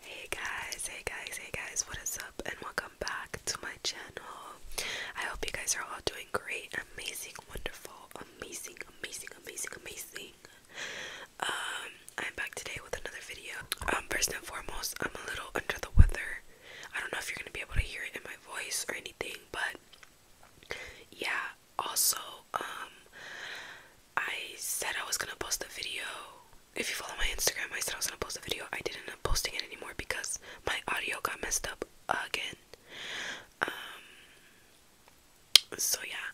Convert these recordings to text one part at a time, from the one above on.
Hey guys, hey guys, hey guys, what is up and welcome back to my channel. I hope you guys are all doing great, amazing, wonderful, amazing, amazing, amazing, amazing. Um, I'm back today with another video. Um, first and foremost, I'm a little under the weather. I don't know if you're gonna be able to hear it in my voice or anything, but yeah, also, um, I said I was gonna post a video. If you follow my Instagram, I said I was gonna post a video. I didn't end up posting it anymore because my audio got messed up again. Um, so yeah.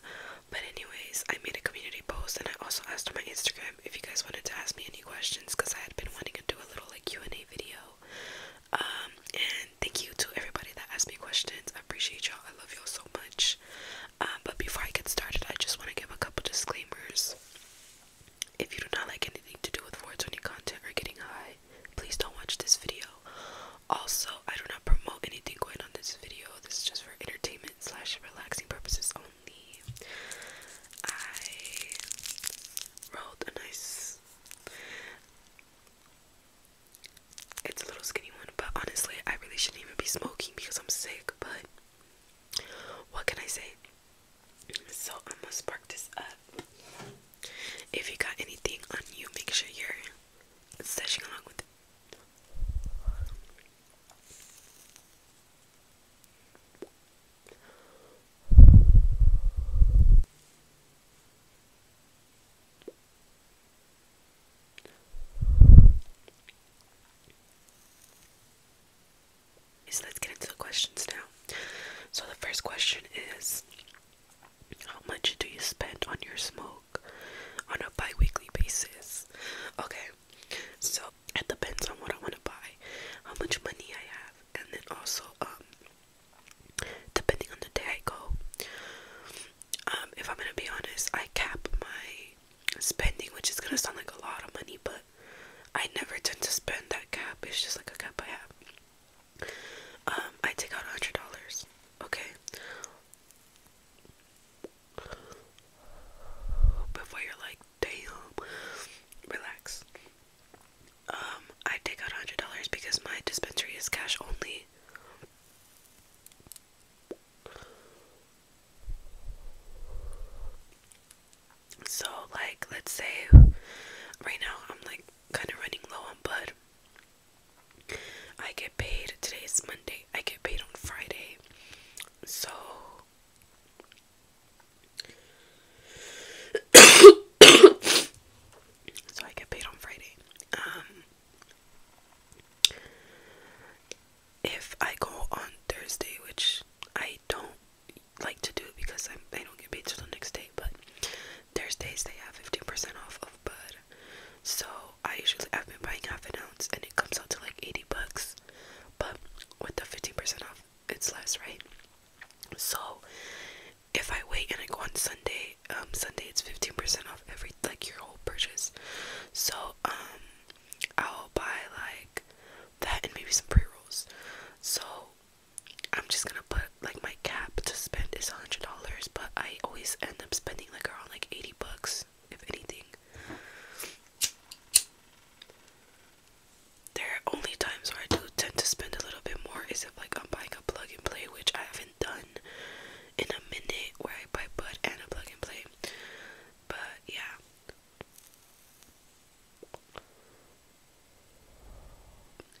But anyways, I made a community post and I also asked on my Instagram if you guys wanted to ask me any questions because I had been wanting to do a little like Q&A video. Um, and thank you to everybody that asked me questions. I appreciate y'all. I love y'all so much. Uh, but before I get started, I just want to give a couple disclaimers. If you do not like anything to do with 420 content or getting high, please don't watch this video. Also, I do not promote anything going on this video. This is just for entertainment slash relaxing purposes only. I wrote a nice it's a little skinny one, but honestly, I really shouldn't even be smoking because I'm sick. But what can I say? So I'm gonna spark this up. If you got anything on you, make sure you're stashing along with it. So let's get into the questions now. So the first question is how much do you spend on your smoke on a bi-weekly basis? Okay. So it depends on what I want to buy, how much money I have, and then also um, depending on the day I go. Um, if I'm going to be honest, I cap my spending, which is gonna sound like a lot of money, but I never tend to spend that cap. It's just like a cap I have. Um, I take out a hundred dollars. Okay. Before you're like, damn, relax. Um, I take out a hundred dollars because my dispensary is cash only. So, like, let's say right now I'm like kind of running low on blood. I get paid Today is Monday, I get paid on Friday. So, so I get paid on Friday. Um, if I go on Thursday, which I don't like to do because I'm, I do not get paid until next day, but Thursdays they have 15% off of bud. So I usually I've been buying half an ounce and it comes out to like 80 bucks, but with the 15% off, it's less, right? So if I wait and I go on Sunday, um Sunday it's 15% off every like your whole purchase. So um I'll buy like that and maybe some pre-rolls. So I'm just gonna put like my cap to spend is a hundred dollars, but I always end up spending like around like eighty bucks, if anything. There are only times where I do tend to spend a little bit more is if like I'm buying a plug and play, which I haven't done in a minute where I buy bud and a plug and play. But yeah.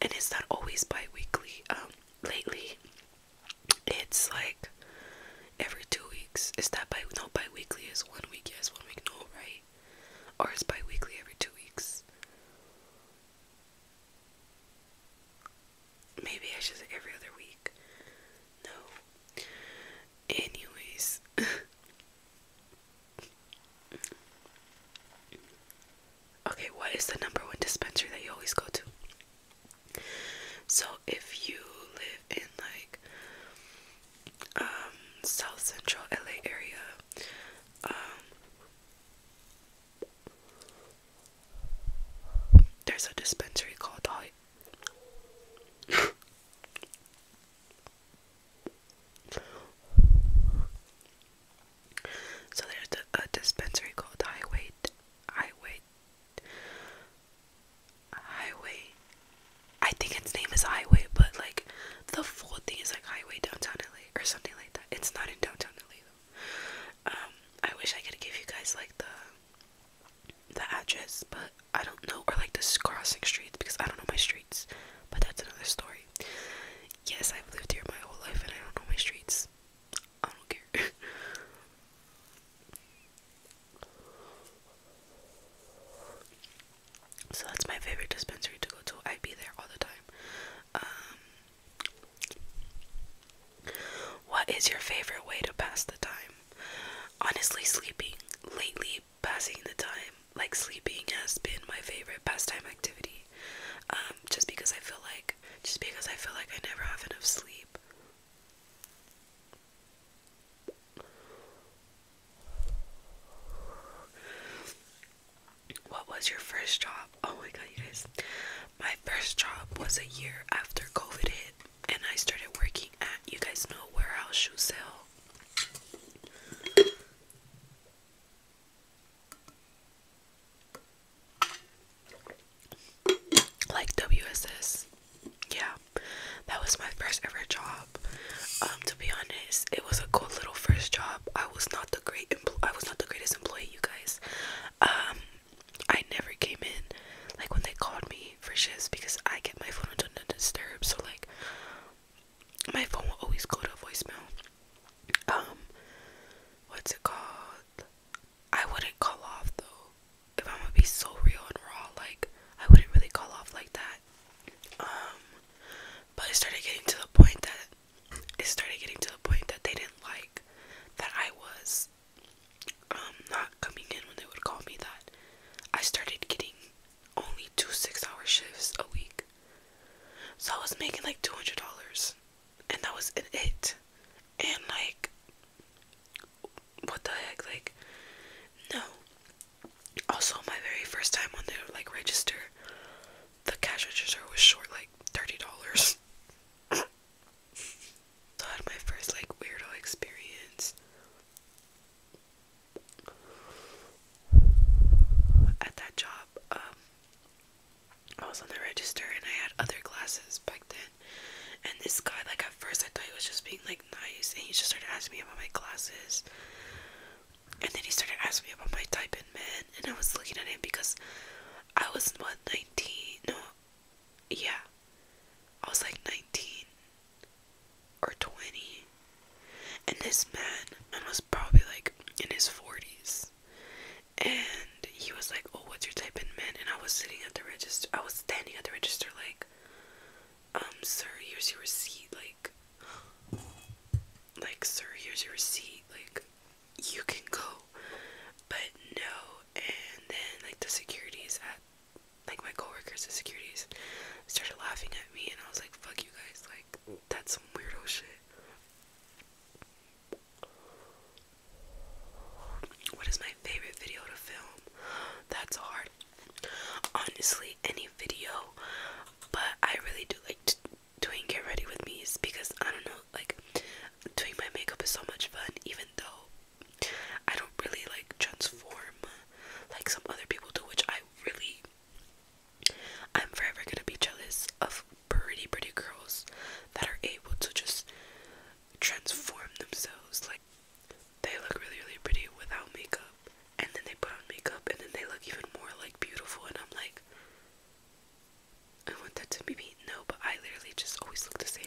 And it's not always biweekly. Um, lately, it's like every two weeks. Is that bi no bi is one week, yes, one week, no, right? Or is biweekly every two weeks? Maybe I should every other week. No. Anyways. okay, what is the number one dispenser that you always go to? So if you live in like um South Central LA area, um there's a dispensary called Height. so there's a, dispensary called Highway, Highway, Highway. I think its name is Highway, but like the full thing is like Highway Downtown LA or something like that. It's not in downtown LA um, I wish I could give you guys like the the address, but I don't know, or like the crossing streets because I don't know my streets. But that's another story. Yes, I've lived here my whole life and I don't know my streets. I don't care. so that's my favorite dispensary to go to. I'd be there all the time. Um, what is your favorite way to pass the time? Honestly, sleeping. Lately, passing the time, like sleeping, has been my favorite pastime activity. Um, just because I feel like, just because I feel like I never have enough sleep. What was your first job? Oh my god, you guys. My first job was a year after COVID hit, and I started working at you guys know warehouse shoe sale. Like WSS. Yeah. That was my first ever job. Um, to be honest, it was a cool little first job. I was not the great I was not the greatest employee, you guys. Um, I never came in like when they called me for shifts because I get my phone on not disturb. So like, my phone will always go to voicemail. Um, what's it called? I wouldn't call off though. If I'm gonna be so real and raw, like I wouldn't really call off like that. Um, but I started getting to the point that it started getting to the point that they didn't like that I was um, not coming in when they would call me that. I started getting only two six hour shifts a week. So I was making like two hundred dollars and that was it. And like what the heck, like no. Also my very first time on they like register the cash register was short like thirty dollars. so I had my first like weirdo experience. At that job, um, I was on the register and I had other glasses back then. And this guy, like at first, I thought he was just being like nice, and he just started asking me about my glasses. And then he started asking me about my type in men, and I was looking at him because I was what nineteen? No, yeah, I was like nineteen or twenty, and this man, was probably like in his forties, and he was like, "Oh, what's your type in men?" And I was sitting at the register. I was standing at the register, like, "Um, sir, here's your receipt." Like, like, sir, here's your receipt. Like, you can go but no and then like the securities at like my coworkers the securities started laughing at me and I was like fuck you guys like that's some weirdo shit what is my favorite video to film that's hard honestly any video but I really do like to doing get ready with me is because I don't know, like doing my makeup is so much fun, even though I don't really like transform like some other people do, which I really I'm forever gonna be jealous of pretty pretty girls that are able to just transform themselves like they look really really pretty without makeup and then they put on makeup and then they look even more like beautiful and I'm like I want that to be me. No, but I literally just always look the same.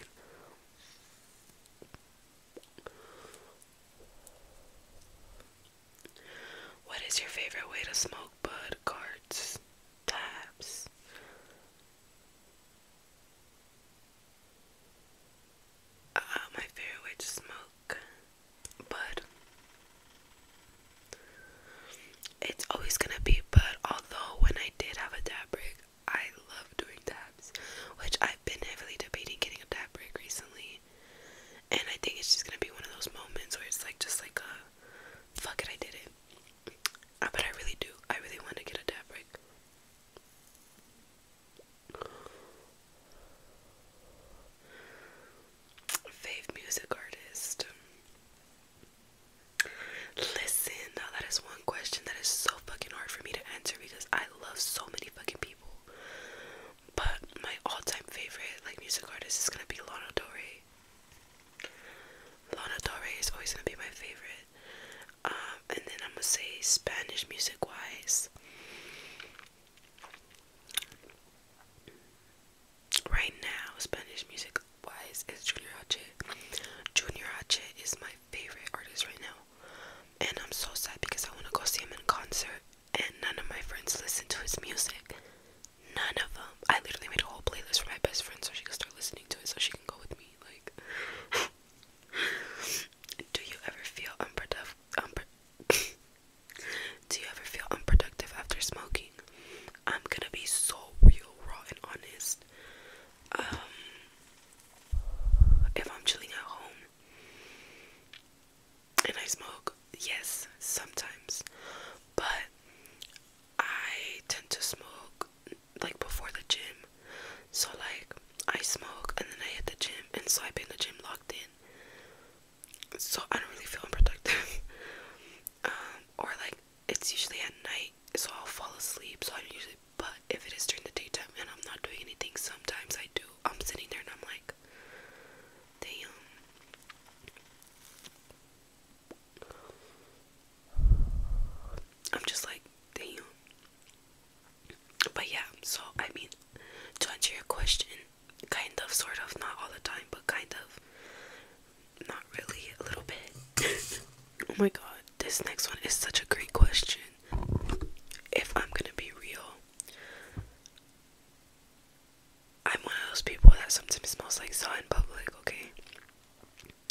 What is your favorite way to smoke bud cards? Tabs. Uh, my favorite way to smoke but it's always gonna be. But although when I did have a dab break, I love doing tabs, which I've been heavily debating getting a dab break recently, and I think it's just gonna be one of those moments where it's like just like a fuck it, I did it. Uh, but I really do. I really want to get a dab break. Fave music artist. Listen, now that is one question that is so fucking hard for me to answer because I love so many fucking people. But my all-time favorite like music artist is gonna be Lana Del Rey. Lana Del Rey is always gonna be my favorite. Um, and then I'm gonna say Spanish music wise. Right now, Spanish music wise is Junior H. Junior H is my favorite artist right now. And I'm so sad because I want to go see him in concert and none of my friends listen to his music. None of them. I literally made a whole playlist for my best friend so she can start listening to it so she can go with me. Like, do you ever feel unproductive? Unpro Do you ever feel unproductive after smoking? I'm gonna be so real, raw, and honest. Um, if I'm chilling at home and I smoke, yes, sometimes, but I tend to smoke like before the gym. So, like, I smoke and then I hit the gym, and so I've been the gym locked in so I don't really feel unprotected, um, or like it's usually at night, so I'll fall asleep. So I usually, but if it is during the daytime and I'm not doing anything, sometimes I do. I'm sitting there and I'm like, damn. I'm just like, damn. But yeah, so I mean, to answer your question, kind of, sort of, not all the time, but kind of, not really, a little bit. oh my god, this next one is such a great question. If I'm gonna be real, I'm one of those people that sometimes smells like saw in public, okay?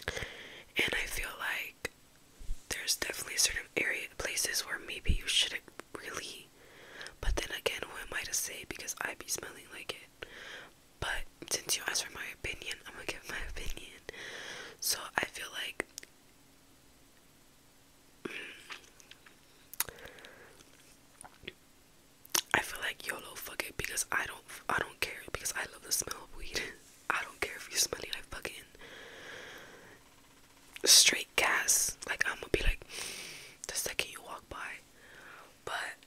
And I feel like there's definitely certain areas, places where maybe you shouldn't really me. But then again, who am I to say because I be smelling like it? But since you asked for my opinion, I'm gonna give my opinion. So I feel like mm, I feel like YOLO fuck it because I don't I don't care because I love the smell of weed. I don't care if you're smelly like fucking straight gas. Like I'm gonna be like the second you walk by. But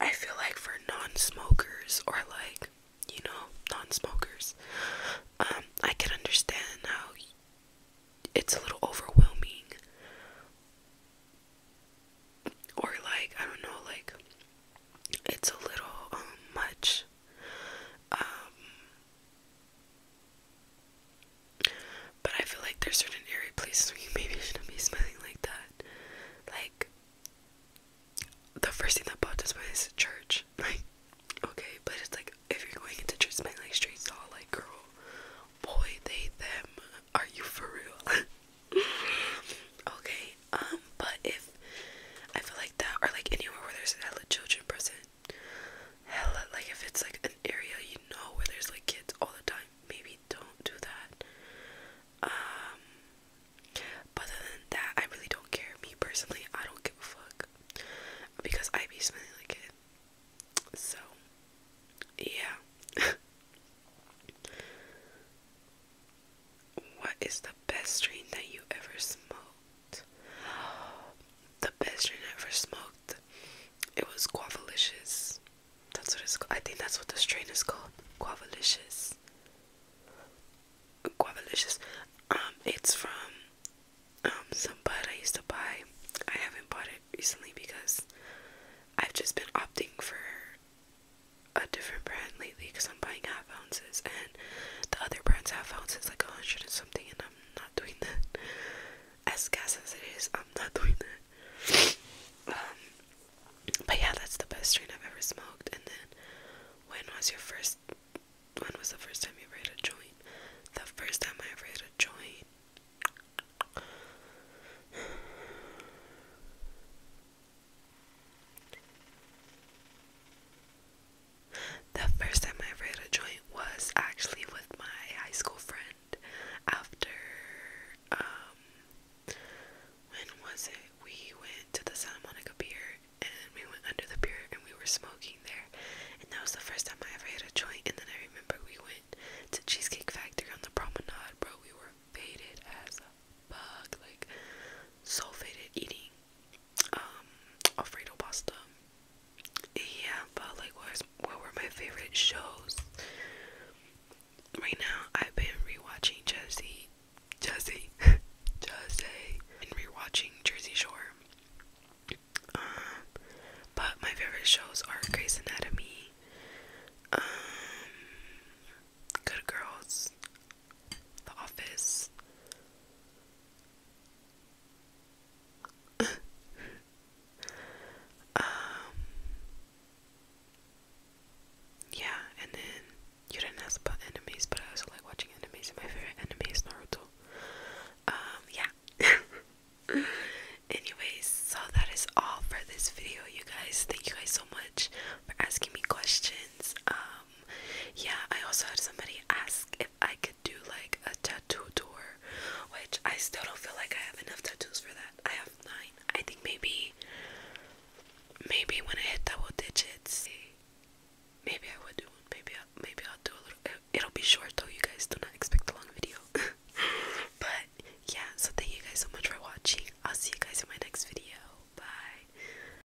I feel like for non-smokers or like you know non-smokers, um, I can understand how it's a little overwhelming. Or like I don't know, like it's a little um, much. Um, but I feel like there's certain area places where you maybe shouldn't be smelling like that. Like the first thing that popped into my is church. Like, okay, but it's like if you're going into church smelling like straight saw, like girl, boy, they, them, are you for real? okay, um, but if I feel like that, or like anywhere where there's an adult children present, hella like if it's like an area you know where there's like kids all the time, maybe don't do that. Um but other than that I really don't care. Me personally, I don't give a fuck. Because I be smelling like it. So yeah. what is the best strain that you ever smoked? The best drink I ever smoked. It was Guavalicious. That's what it's called. I think that's what the strain is called. Guavalicious. Guavalicious. Um, it's from um some bud I used to buy. I haven't bought it recently because I've just been opting for a different brand lately because I'm buying half ounces and the other brands half ounces like a hundred and something and I'm not doing that. As gas as it is, I'm not doing that. Um, but yeah, that's the best strain I've ever smoked. And then, when was your first? When was the first time you ever a joint? The first time I ever hit a joint. The first time I ever hit a joint was actually with my high school friend after um when was it? We went to the Santa Monica Pier and we went under the pier and we were smoking there and that was the first time I ever hit a joint and then I remember we went to Cheesecake Factory on the promenade, bro. We were faded as a bug, like so faded eating um, Alfredo pasta. Yeah, but like what were my favorite shows? Right now I've been rewatching Jersey Jersey Jersey and rewatching Jersey Shore. Um but my favorite shows are Grey's Anatomy, um Good Girls, the Office. Um, yeah, and then you didn't ask about enemies, but I also like watching enemies, and my favorite enemies is Naruto. Um, yeah. Anyways, so that is all for this video, you guys. Thank you guys so much for asking me questions. Um, yeah I also had somebody ask if I could do like a tattoo tour which I still don't feel like I have enough tattoos for that I have nine I think maybe maybe when I hit double digits maybe I would do one maybe i maybe I'll do a little it'll be short though you guys do not expect a long video but yeah so thank you guys so much for watching I'll see you guys in my next video bye